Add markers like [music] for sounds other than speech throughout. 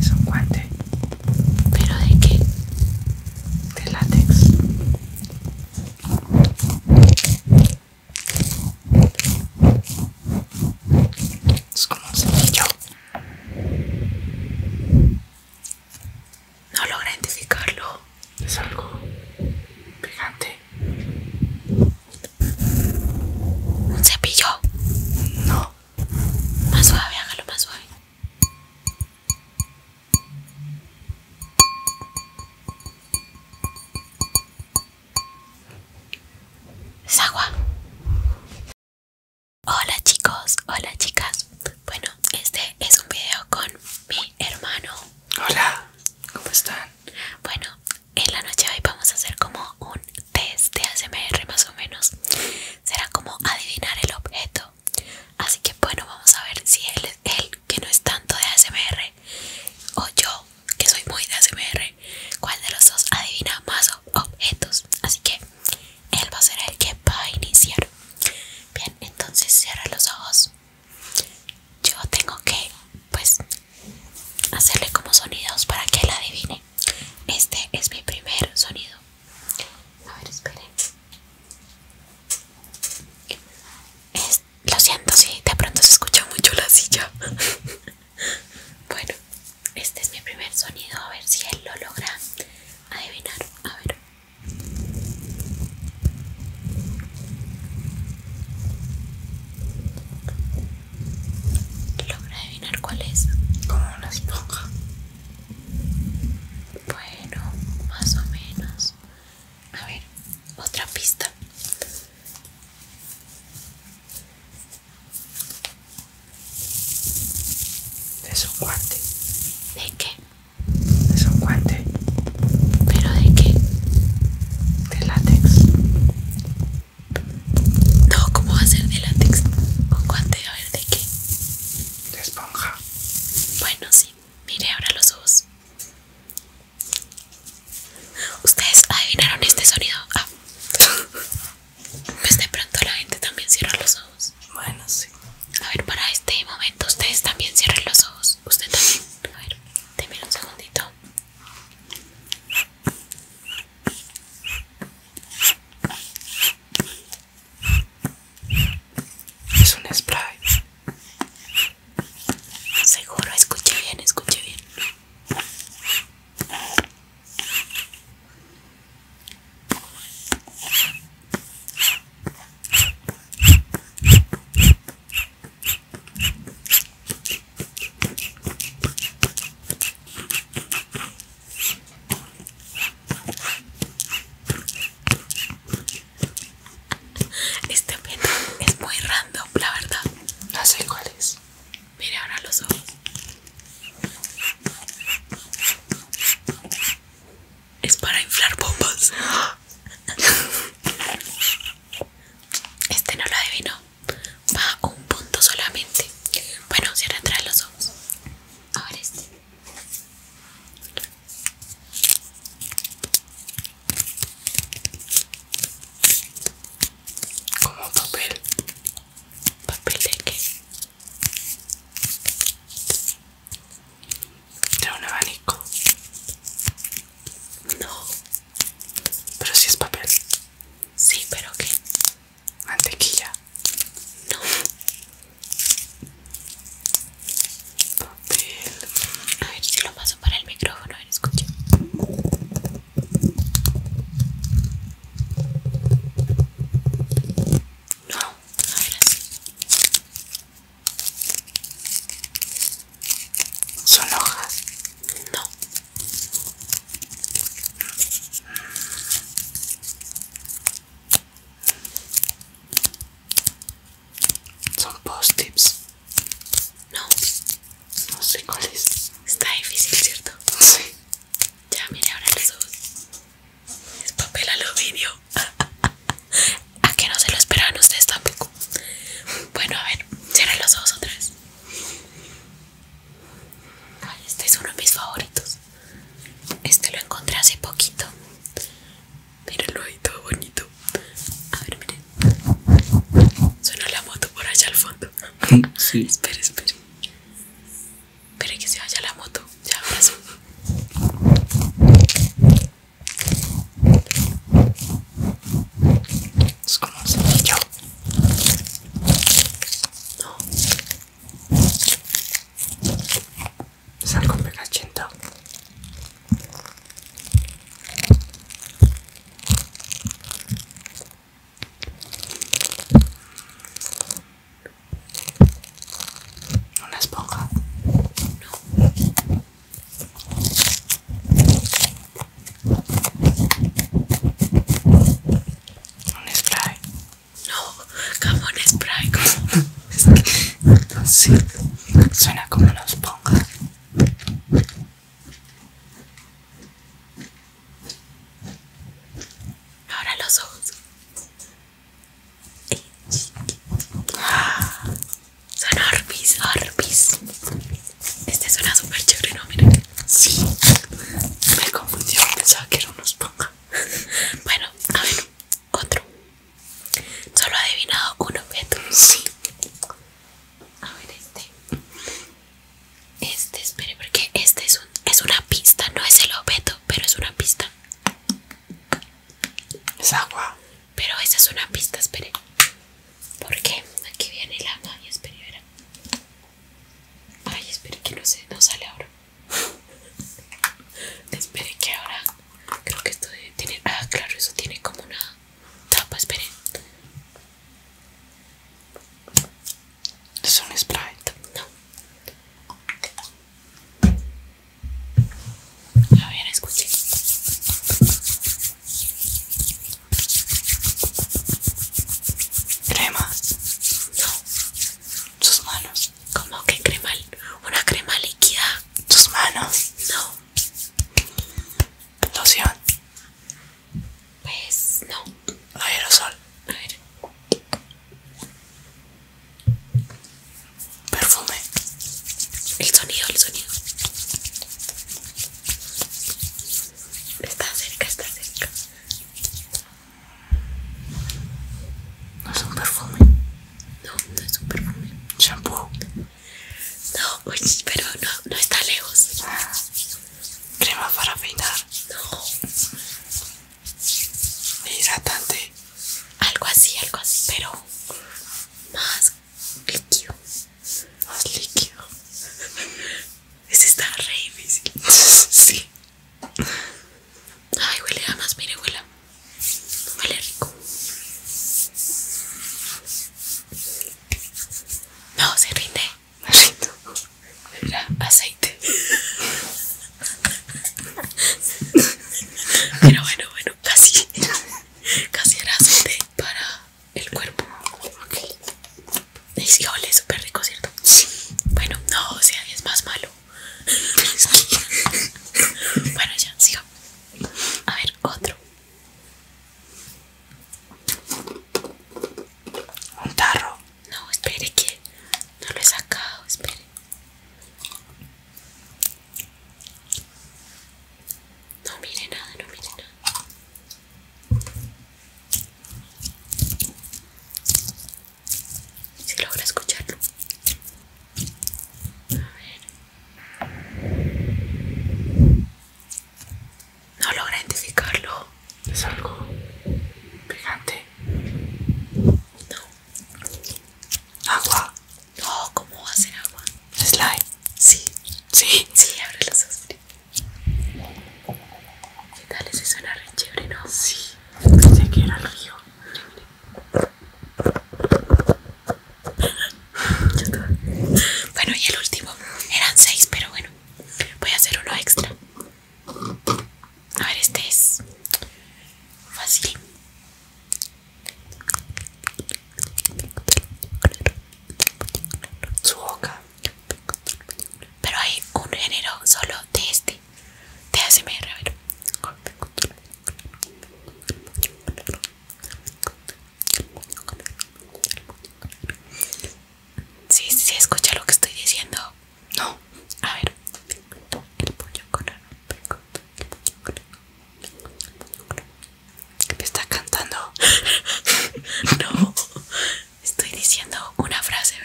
Es un guante. ¿Pero de qué? De látex. Es como un cepillo. No logra identificarlo. Es algo pegante. ¿Un cepillo? No. Más suave, hágalo más suave. ¿Sagua? agua. Hola chicos, hola chicas. Bueno, este es un video con mi hermano. Hola, ¿cómo están? Bueno, en la noche hoy vamos a hacer como un test de ASMR más o menos será como adivinar el objeto así que bueno vamos a ver si él, el que no es tanto de ASMR o yo que soy muy de ASMR cuál de los dos adivina más objetos así que él va a ser el que va a iniciar bien entonces cierra los ojos yo tengo que pues hacerle como sonidos para que él adivine este es mi primer sonido a ver, esperen. lo siento sí, de pronto se escucha mucho la silla. [laughs] bueno, este es mi primer sonido. A ver si él lo logra adivinar. A ver. ¿Logra adivinar cuál es? Como una esponja. Bueno, más o menos. A ver, otra pista. Es un guante. ¿De qué? Es un guante. ¿Pero de qué? De látex. No, ¿cómo va a ser de látex? Un guante, a ver, ¿de qué? de esponja. Bueno, sí, mire ahora los ojos. ¿Ustedes adivinaron este sonido? Ah. Pues de pronto la gente también cierra los ojos. Bueno, sí. A ver, para este momento ustedes también cierren los ojos. Usted también. A ver, dime un segundito. Es un spray. Seguro, escuche bien, escuche bien. Este pelo es muy random, la verdad. No sé cuál es. Mire ahora los ojos. Es para inflar bombas. Este no lo adivino. Va un punto solamente. Bueno, cierra atrás los ojos. Ahora este. Como papel. ¿Papel de qué? De un abanico. No. Pero si es papel. Sí, pero qué mantequilla no papel a ver si lo paso para el micrófono a ver escucho, no a ver son hojas no son post-tips. No. No sé cuál es. Está difícil, ¿cierto? Sí. Ya mire ahora los ojos Es papel aluminio. ¿A qué no se lo esperaban ustedes tampoco? Bueno, a ver, cierren los ojos otra vez. Ay, este es uno de mis favoritos. Este lo encontré hace poquito. Mírenlo ahí todo bonito. A ver, miren. Suena la moto por allá al fondo. Sí. espera, [laughs] espera que se vaya la moto. Ya abrazo. Es como No, es algo Una esponja. No. Un spray. No, jamón spray Sí, suena como un esponja. Ahora los ojos. son Orbis, Orbis. Este suena súper chévere, ¿no? Miren. Sí. Me confundió, pensaba que era un esponja. [laughs] Bueno, a ver, otro. Solo he adivinado un objeto. A ver este. Este, espere, porque este es, una pista, no es el objeto, pero es una pista. Es agua. Pero esa es una pista, espere. Porque Aquí viene la y espere, Ay, espere que no, se, no sale ahora. [laughs] Esperen que ahora creo que esto tiene Ah, claro, eso tiene como una tapa, esperen. Es un sprite. No. A bien, escuchen. Crema. No. Sus manos como que crema? ¿Una crema líquida? ¿Tus manos? No. ¿Loción? Pues no. ¿Aerosol? A ver. ¿Perfume? El sonido, el sonido. Está cerca, está cerca. No es un perfume. No, no es un perfume. Shampoo. No, pero no, está lejos. Crema para peinar. No. Hidratante. Algo así, algo así, pero más líquido. Más líquido. [laughs] Ese está re difícil. [laughs] sí. Ay, huele jamás, más, mire, huele. Huele rico. No, se rinde. Me rindo. aceite. Pero bueno, bueno, casi. Casi era aceite para el cuerpo. Y sí, huele súper rico, ¿cierto? Bueno, no, o sea, es más malo. Bueno, ya, sigo. A ver, otro. Un tarro. No, espere que no lo he sacado, espere. No mire nada, no mire nada. Si logra escucharlo. A ver. No logra identificarlo. ¿Es algo pegante? No. ¿Agua? No, ¿cómo va a ser agua? ¿Slide? Sí. ¿Sí? Sí, abre los ojos. ¿Qué tal? Ese suena re chévere, ¿no? Sí. Pensé que era el río. Bueno, y el último eran seis, pero bueno, voy a hacer uno extra. A ver, este es fácil. Su boca. Pero hay un género solo de este te hace a ver. Sí, sí, escucha lo que estoy diciendo. No, a ver. Me está cantando. [laughs] no, estoy diciendo una frase.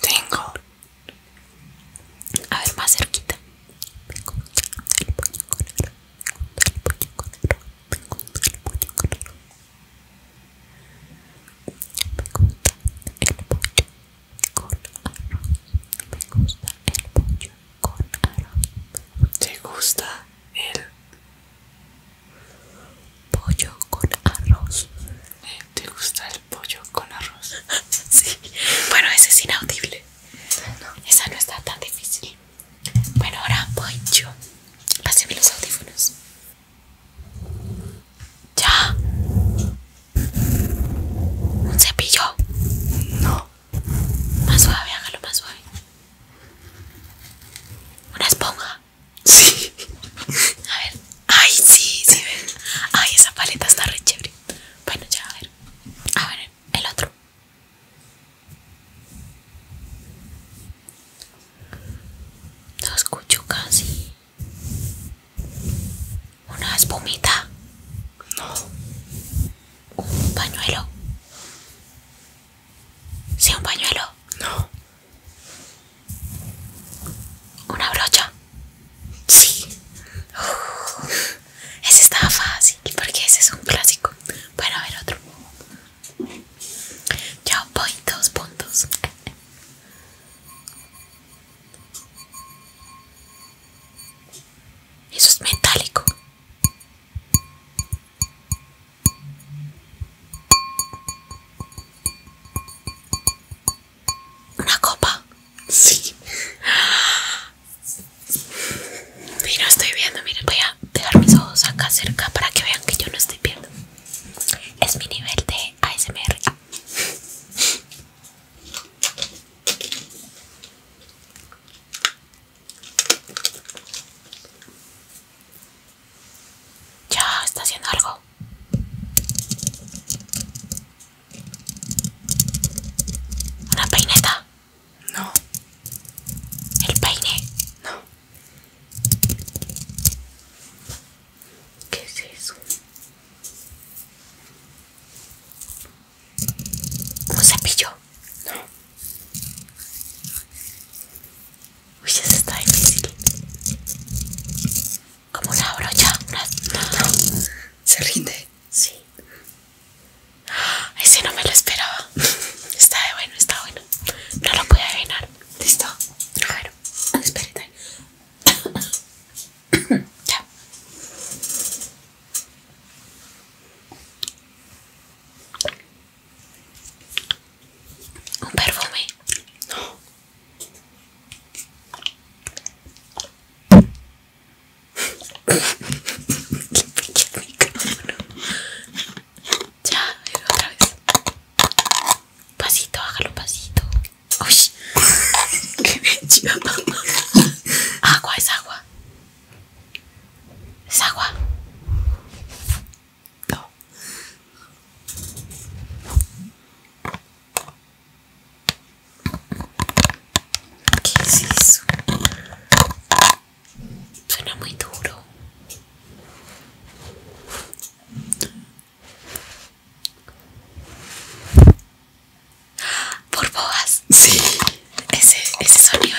Tengo. A ver, más cerquita. Me gusta el pollo con arroz. ¿Te gusta el pollo con arroz. Eh, ¿Te gusta el pollo con arroz? [laughs] sí. Bueno, ese es inaudible. No. Esa no está tan difícil. Bueno, ahora voy yo. los audífonos. Ya. ¿Un cepillo? No. Más suave, hágalo más suave. Una esponja. Sí. A ver. Ay, sí, sí ven. Ay, esa paleta está re chévere. Bueno, ya a ver. A ver, el otro. No escucho casi. Una espumita. No. Un pañuelo. Sí, un pañuelo. No. ¿Una brocha? Sí. ese estaba fácil porque ese es un clásico. Bueno, a ver otro. Yo voy dos puntos. Eso es metálico una copa. Sí. no estoy viendo, miren, voy a dejar mis ojos acá cerca para que vean que yo no estoy viendo. Es mi nivel de ASMR. Ya está haciendo algo. ¿Una peineta? No. ¿El peine? No. ¿Qué es eso? ¿Un cepillo? No. Uy, eso está difícil como una brocha. Se rinde. Sí. Ah, ese no me lo esperaba. Está de bueno, está bueno. No lo pude adivinar. ¿Listo? A espérate. ya. Un perfume. No. Ya, otra vez. Pasito, hágalo pasito. Uy. [laughs] Qué chida Agua, es agua. Es agua. No. ¿Qué es eso? Suena muy duro. Por boas. Sí. Ese, ese sonido.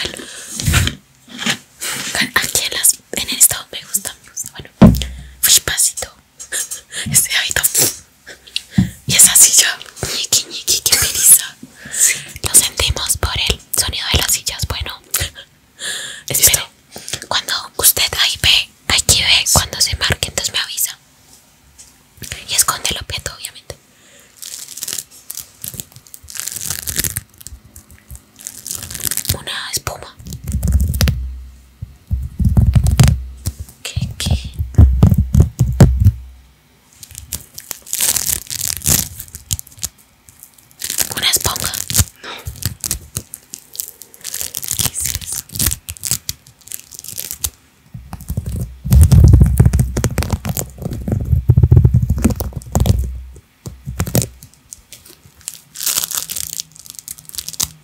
Aquí en, el estado me gustan me Bueno, fui pasito. [laughs] este hábito y esa silla ya ñiqui que pereza lo sentimos por el sonido de las sillas bueno espere cuando usted ahí ve aquí ve cuando se marque entonces me avisa y esconde el objeto obviamente una espuma ¿Qué, qué? ¿Una esponja? No.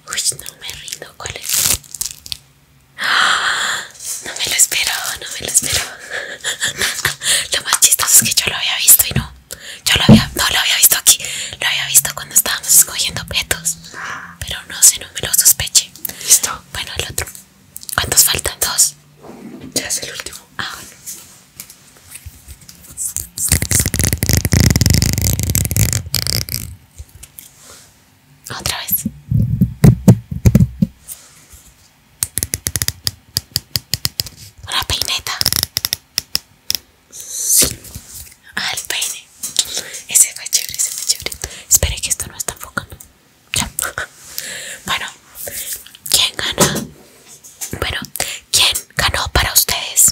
Uy, no me rindo, ¿cuál es? ¡Ah! No me lo espero, no me lo espero. [laughs] Lo más chistoso es que yo lo había visto y no. Yo lo había, no lo había visto aquí. Lo había visto cuando estábamos escogiendo objetos. Pero no sé, no me lo sospeche. Listo. Bueno, el otro. ¿Cuántos faltan? Dos. Ya es el último. Ah, bueno. Otra vez. la peineta. Sí. Ah, el peine. Ese fue chévere, ese fue chévere. Espere que esto no está enfocando. Ya. [laughs] Bueno, ¿quién gana? Bueno, ¿quién ganó para ustedes?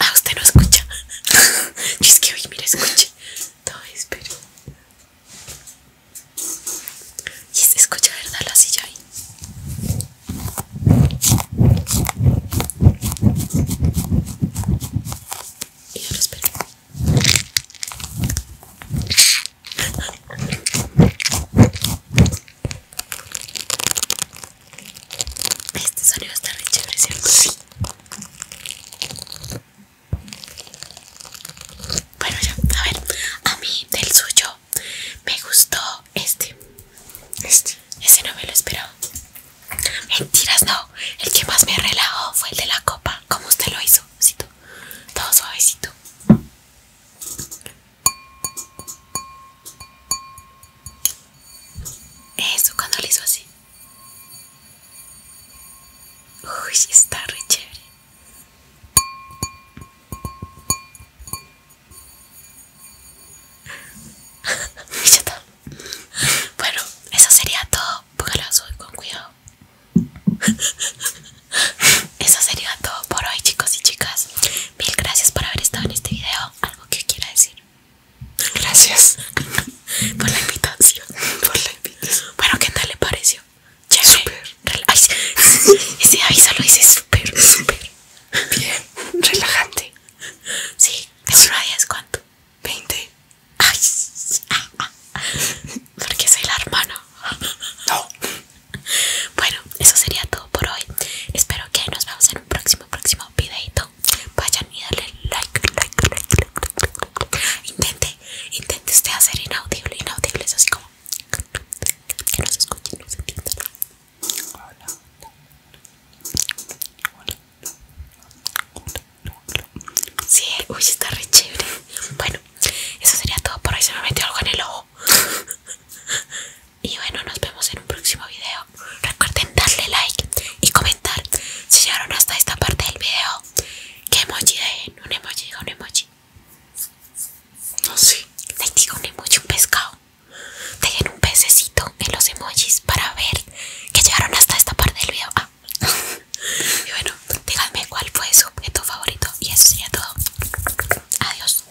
ah, usted no escucha. [laughs] es que oye, mire, escuche. Todo espero. Y escucha, ¿verdad? La silla ahí. Y yo espero. Este sonido está re chévere, Sí. Bueno, ya, a ver, a mí del suyo me gustó este. Este. Ese no me lo esperaba. Mentiras, no. El que más me relajó fue el de la copa. Como usted lo hizo, ¿sí? Todo suavecito. Eso cuando lo hizo así. Uy, está re chévere. [laughs] bueno, eso sería todo. Póngalo con cuidado. [laughs] Eso sería todo por hoy, chicos y chicas. Mil gracias por haber estado en este video. Algo que quiera decir. Gracias por la invitación. Por la invitación. Bueno, ¿qué tal le pareció? Súper. [laughs] Ese aviso lo hice súper, súper. Bien, relajante. Sí, ¿eso no es cuánto? 20. Ay, ah, ah. porque soy la hermana. No. Bueno, eso sería todo por hoy. Espero que nos veamos en un próximo, próximo videito vayan y dale like like like, intente intente usted hacer inaudible inaudible así como que no se no se hola hola Sí, uy, está re Bueno, eso sería todo por hoy. Se me metió algo en el ojo. Y bueno, nos vemos en un próximo video. Recuerden darle like y comentar si llegaron hasta esta parte del video. ¿Qué emoji dejen? Eh, un emoji? un emoji. No sé. Les digo un emoji, un pescado. Dejen un pececito en los emojis para ver que llegaron hasta esta parte del video. Ah. [laughs] y bueno, díganme cuál fue su objeto favorito. Y eso sería todo. Adiós.